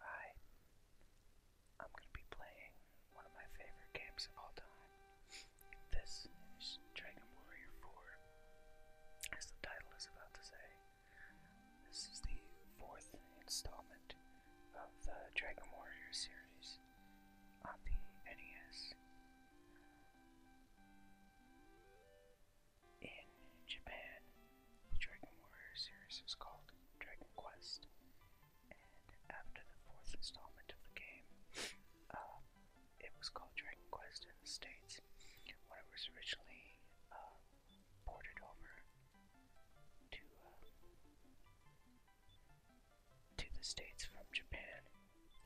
Hi. I'm going to be playing one of my favorite games of all time. This is Dragon Warrior 4, as the title is about to say. This is the fourth installment of the Dragon Warrior series on the NES. In Japan, the Dragon Warrior series was called Dragon Quest, and after the fourth installment of the game, um, it was called Dragon Quest in the States. When it was originally um, ported over to um, to the States from Japan,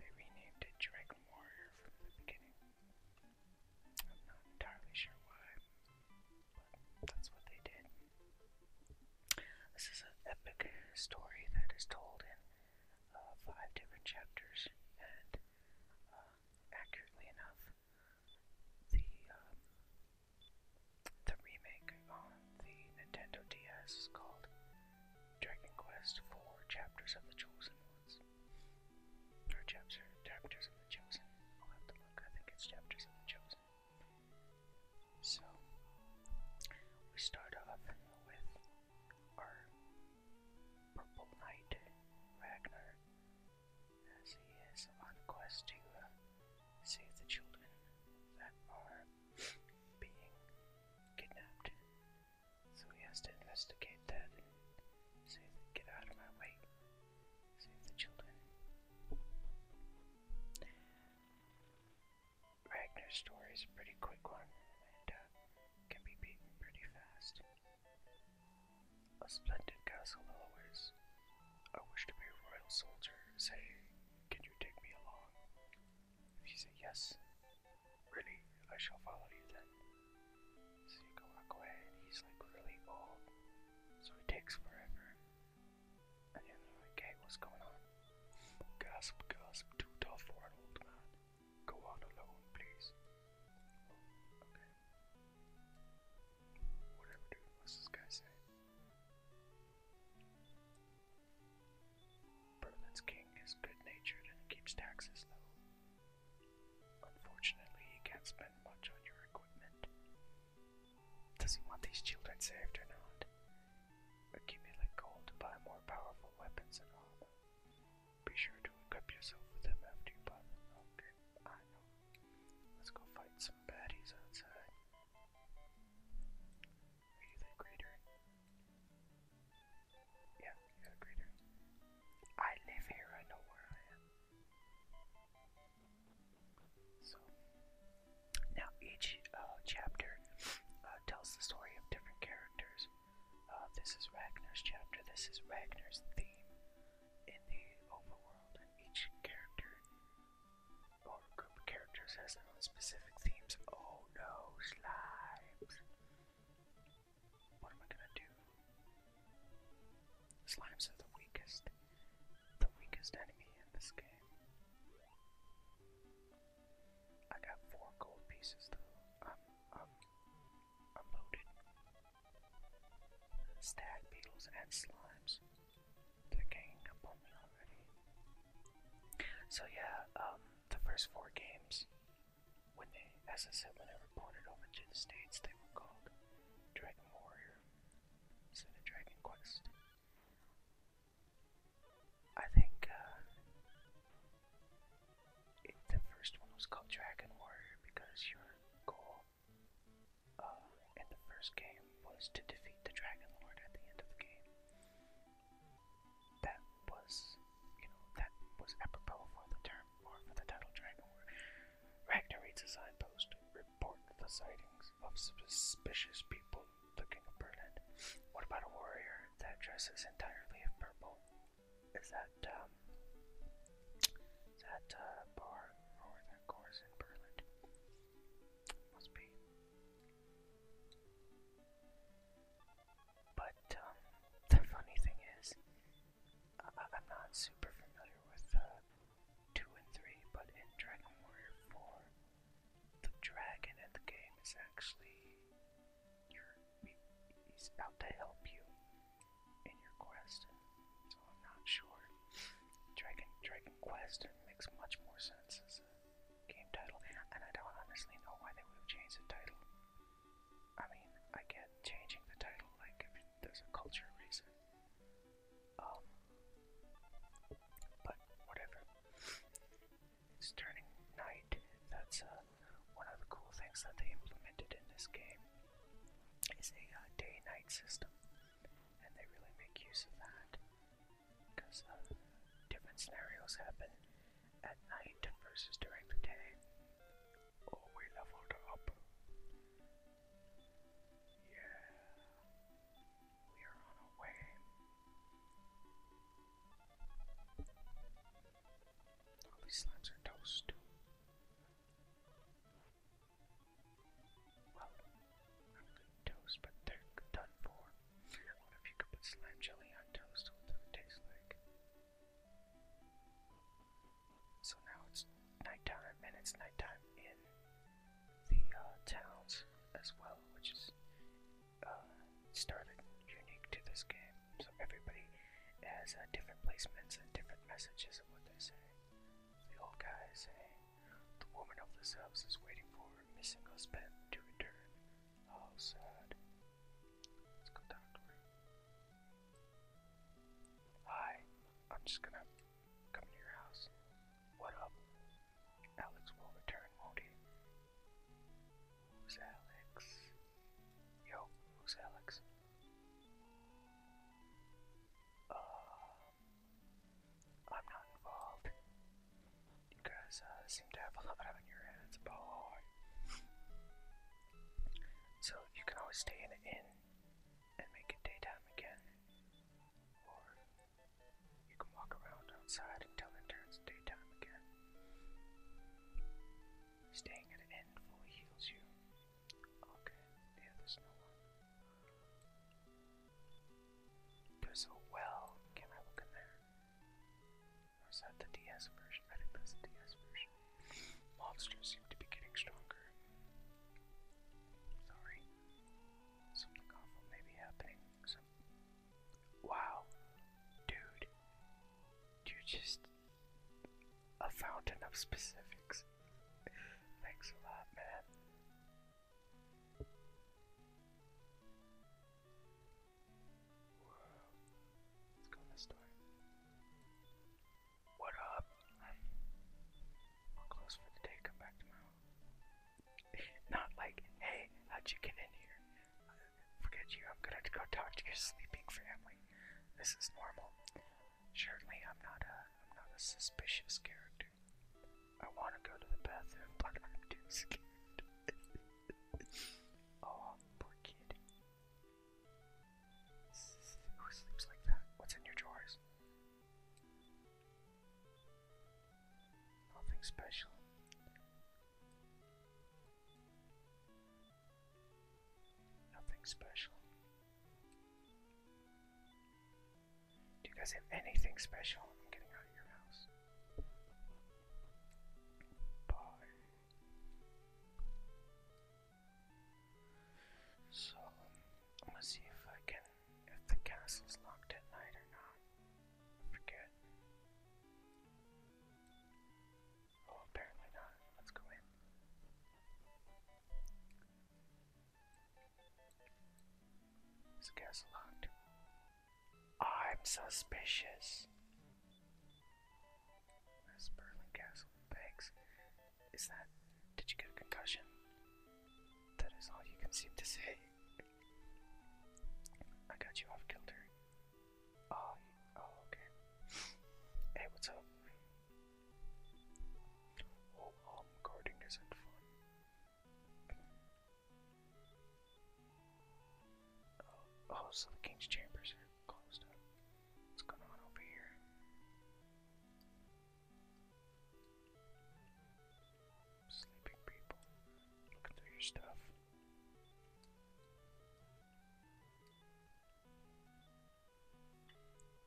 they renamed it Dragon Warrior from the beginning. I'm not entirely sure why. But that's what they did. This is an epic story that is told in uh, five different chapters, and uh, accurately enough, the um, the remake on the Nintendo DS is called Dragon Quest Four: Chapters of the Chosen Ones. Or chapter, chapters of the Chosen. I'll have to look. I think it's chapters of the Chosen. So we start off with our purple knight Ragnar, as he is on a quest to uh, save the children that are being kidnapped. So he has to investigate that and say, "Get out of my way." Ragnar's story is a pretty quick one and uh, can be beaten pretty fast. A splendid castle always. I wish to be a royal soldier. Say, can you take me along? If you say yes, really, I shall follow you then. So you can walk away and he's like really old. So it takes forever. And you're like, hey, what's going on? Gasp, gasp, too tough for an old man. Go on alone, please. Whatever, dude, what's this guy saying? Berlin's king is good natured and keeps taxes low. Unfortunately, he can't spend much on your equipment. Does he want these children saved or not? Accumulate gold to buy more powerful weapons and armor. Be sure to equip yourself with them after you buy them. Okay, oh, I know. Let's go fight some baddies outside. Are you the greater? Yeah, you're the greater. I live here, I know where I am. So, now each uh, chapter uh, tells the story of different characters. Uh, this is Ragnar's chapter, this is Ragnar's theme in the overworld, and each character or group of characters has their own specific themes. Oh no, slimes! What am I gonna do? Slimes are the weakest, the weakest enemy in this game. I got four gold pieces though. I'm, I'm, I'm loaded. Stag beetles and slimes. They're ganging up on me already. So yeah, um, the first four games when the SS7 said, ported over to the States, they were called Dragon Warrior instead of Dragon Quest. I think uh, the first one was called Dragon Warrior because your goal uh, in the first game was to defeat the Dragon Lord at the end of the game. That was, you know, that was apropos for the term for the title Dragon War. Ragnar reads a signpost, report the sightings of suspicious people looking at Berlin. What about a warrior that dresses entirely in purple? Is that, um, that, uh, bar or that chorus Must be. But, um, the funny thing is, I'm not super familiar with uh, 2 and 3, but in Dragon Warrior IV, the dragon in the game is actually your, he's out to help you in your quest. So I'm not sure. Dragon, Dragon Quest makes much more sense as a game title, and I don't honestly know why they would have changed the title. I mean, I get changing the title, like, if there's a culture reason. Um, but whatever. It's turning night. That's uh, one of the cool things that they implemented in this game is a uh, day-night system, and they really make use of that because uh, different scenarios happen at night versus during the day. Oh, we leveled up. Yeah. We are on our way. these slimes are toast. Well, not toast, but they're done for. I if you could put slime jelly on toast, what it taste like. So now it's nighttime, and it's nighttime in the uh, towns as well, which is uh, started unique to this game. So everybody has uh, different placements and different messages of what they say. The old guy is saying, "The woman of this house is waiting for her missing husband to return." How oh, sad. Let's go talk to her. Hi, I'm just gonna come to your house. What up? Alex will return, won't he? Who's Alex? Yo, who's Alex? Um, I'm not involved. You guys uh, seem to have a lot on your hands, boy. So, you can always stay in an inn and make it daytime again. Or you can walk around outside until it turns daytime again. Staying at an inn fully heals you. Okay, yeah, there's no one. There's a well. Can I look in there? Or that the DS version? I think the DS version. Monsters seem to be getting stronger. Sorry. Something awful may be happening. Wow. Dude. You just a fountain of specifics. Thanks a lot, man. Let's go this door. What up? close for the day. Come back tomorrow. Not like, hey, how'd you get in here? Forget you. I'm gonna go talk to your sleeping family. This is normal. Surely, I'm not a, I'm not a suspicious character. I want to go to the bathroom, but I'm too scared. oh, poor kid. Who sleeps like that? What's in your drawers? Nothing special. Nothing special. Do you guys have anything special? I'm getting out of your house. Bye. So I'm gonna see if I can if the castle's locked at night or not. forget. Oh apparently not. Let's go in. Is castle locked? I'm suspicious. Miss Burlingcastle begs, Is that, did you get a concussion? That is all you can seem to say. I got you off kilter. Oh, oh okay. hey, what's up? Oh, guarding isn't fun. Oh, oh, so the king's chambers are closed up. What's going on over here? Sleeping people. Looking through your stuff.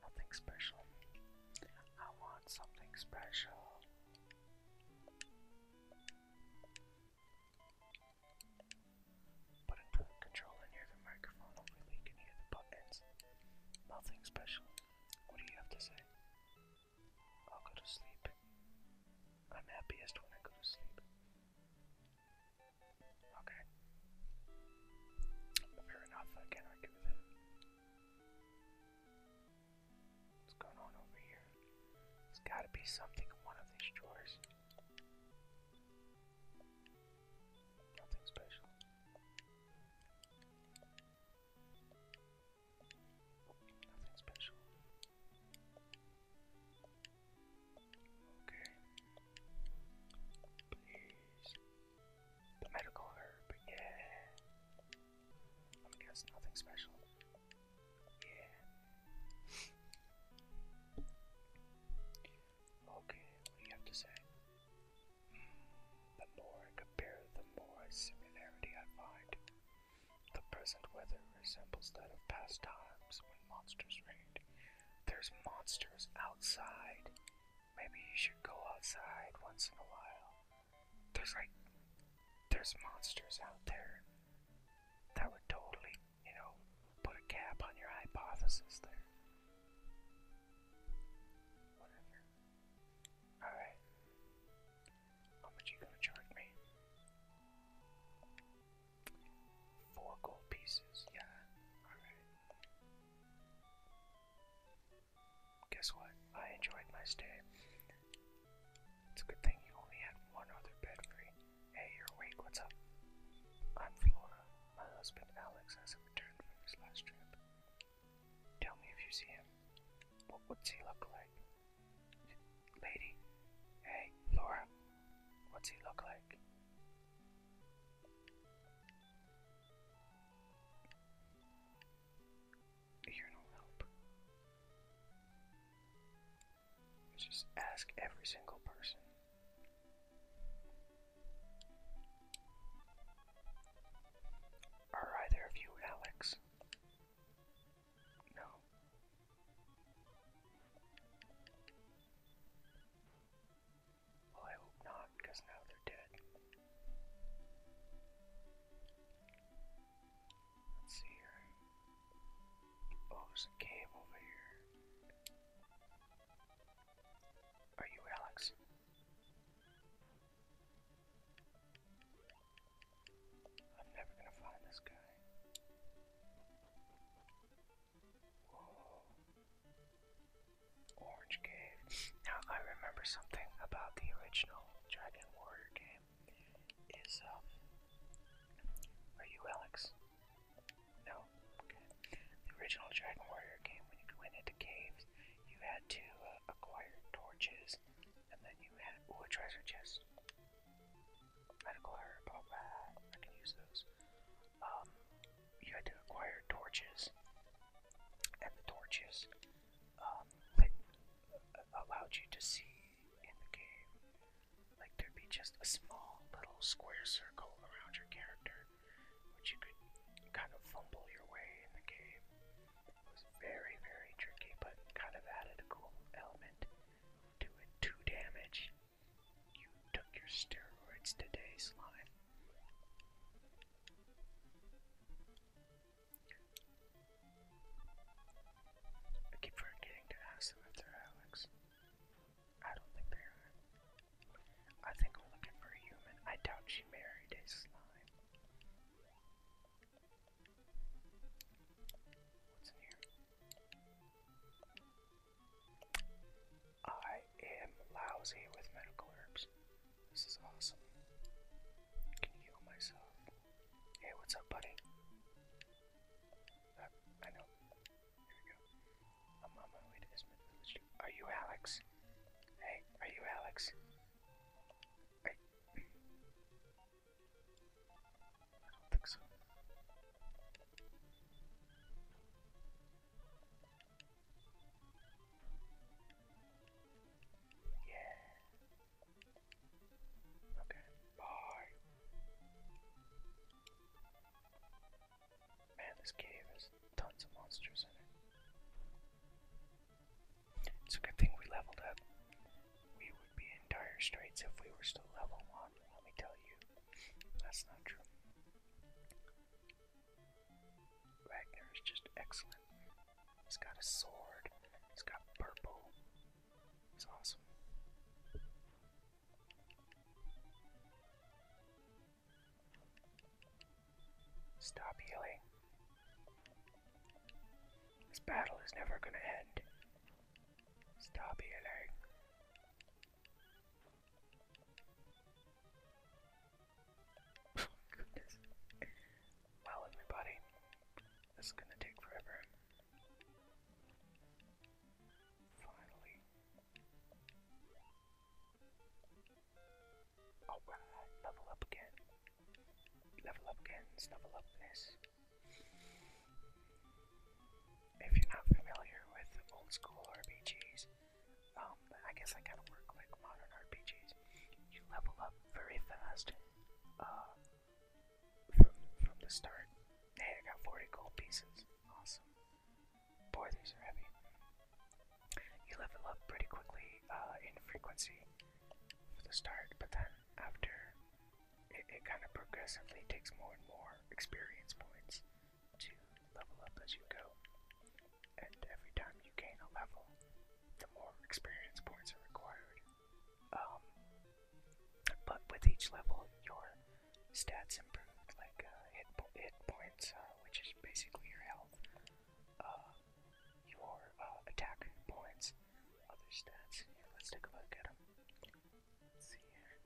Nothing special. I want something special. Putting the controller near the microphone, hopefully you can hear the buttons. Nothing special. What do you have to say? I'll go to sleep. I'm happiest when I go to sleep. Okay. Fair enough, I can it. What's going on over here? There's gotta be something in one of these drawers. Nothing special. Nothing special. Okay. Please. The medical herb, yeah. I'm guess nothing special. Yeah. Okay, what do you have to say? The more I compare, the more similarity I find. The present weather resembles that of past times when monsters reigned. There's monsters outside. Maybe you should go outside once in a while. There's like, there's monsters out there that would totally you know, put a cap on your hypothesis there. Alright. How much you gonna charge me? Four gold pieces, yeah. Alright. Guess what? I enjoyed my stay. It's a good thing you only had one other bed free. Hey, you're awake, what's up? I'm Flora. My husband Alex has returned from his last trip. Tell me if you see him. what's he look like? Lady? Hey, Flora. What's he look like? You're no help. Just ask every single person. Are either of you Alex? No. Well, I hope not, because now they're dead. Let's see here. Oh, there's a cave over here. Are you Alex? I'm never gonna find this guy. Orange Cave. Now I remember something about the original Dragon Warrior game. Is um are you Alex? No. The original Dragon Warrior game, when you went into caves, you had to uh, acquire torches, and then you had a treasure chest, medical herb, I can use those. Um, you had to acquire torches, and the torches um, lit, allowed you to see in the game like there'd be just a small little square circle around your character, which you could kind of fumble your way in the game. It was very, very tricky, but kind of added a cool element to it. Two damage. You took your steroids today, slime. I keep forgetting to ask them if they're Alex. I don't think they are. I think we're looking for a human. I doubt she married a slime. What's in here? I am lousy with medical herbs. This is awesome. can heal myself. Hey, what's up, buddy? I know. Here we go. I'm on my way to Ismith Village. Are you Alex? Hey, are you Alex? I don't think so. Yeah. Okay, bye. Man, this cave has tons of monsters in it. It's a good thing we leveled up. We would be in dire straits if we were still level 1, let me tell you. That's not true. Ragnar is just excellent. He's got a sword, he's got purple, He's awesome. Stop healing. This battle is never gonna end. Stop healing. Oh, well, everybody, it's gonna take forever. Finally. Alright, oh, level up again. Level up again, snuffle up this. If you're not familiar with old school RPGs, um, I guess I kind of work like modern RPGs. You level up very fast. Uh, from the start. Hey, I got 40 gold pieces. Awesome. Boy, these are heavy. You level up pretty quickly uh, in frequency for the start, but then after it kind of progressively takes more and more experience points to level up as you go. And every time you gain a level, the more experience points are required um, but with each level, your stats improve, like uh, hit, hit points, uh, which is basically your health, uh, your uh, attack points, other stats. let's take a look at them. see here.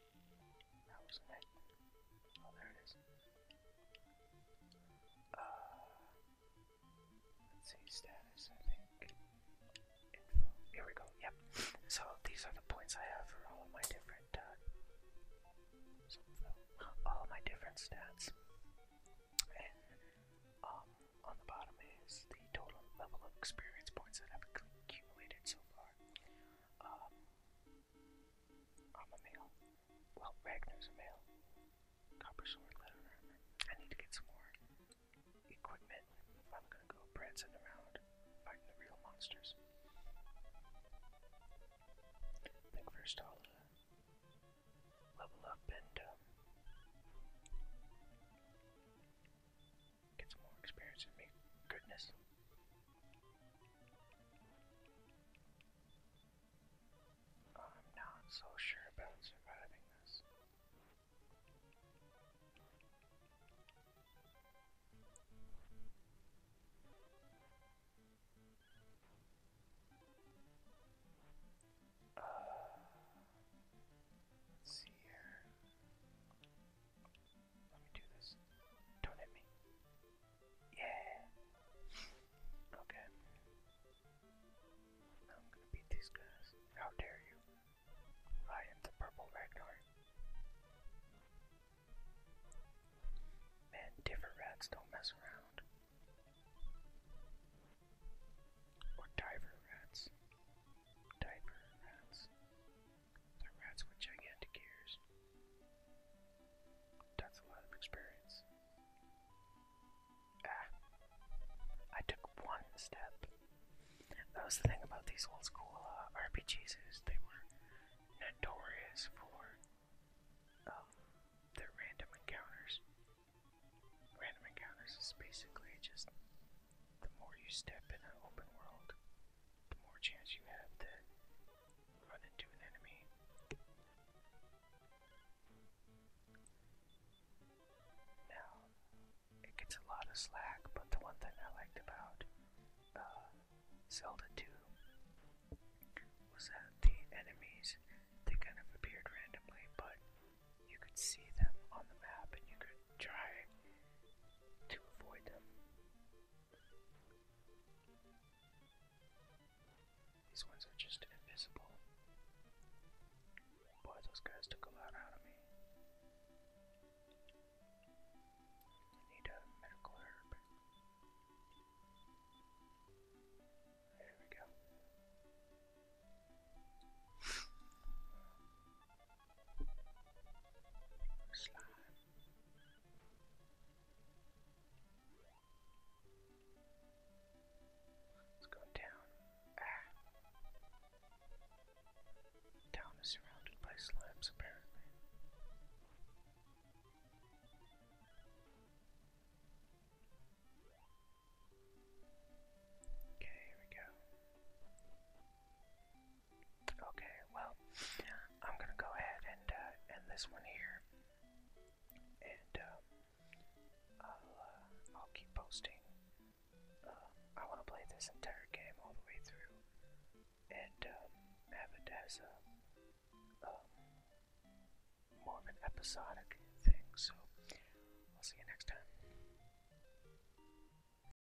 That wasn't oh, uh, let's see, status, I think. Info. Here we go, yep. So these are the points I have for all of my different, uh, all of my different stats. And, um, on the bottom is the total level of experience points that I've accumulated so far. Um, I'm a male. Well, Ragnar's a male. Copper sword, leather armor. I need to get some more equipment if I'm gonna go prancing around fighting the real monsters. think first uh, level up and um, Get some more experience and goodness. I'm not so sure about surviving this. Uh, let's see here. Let me do this. Don't hit me. Yeah. Okay. I'm gonna beat these guys. How dare you? I am the purple Ragnar. Man, different rats don't mess around. Or diver rats. Diver rats they rats with gigantic ears. That's a lot of experience. Ah. I took one step. That was the thing about these old school uh, RPGs is they were notorious for um, their random encounters. Random encounters is basically just the more you step in an open world, the more chance you have to run into an enemy. Now, it gets a lot of slack, but the one thing I liked about uh, Zelda 2 was that the enemies, they kind of appeared randomly, but you could see them on the map and you could try to avoid them. These ones are just invisible. Boy, those guys took a lot out of me. need a medical herb. There we go. Slime. let down. Ah. Town is surrounded by slimes, apparently. Okay, here we go. Okay, well, I'm gonna go ahead and uh, end this one here, and uh, uh, I'll, keep posting. I want to play this entire game all the way through, and um, have a um, more of an episodic thing. So, I'll see you next time.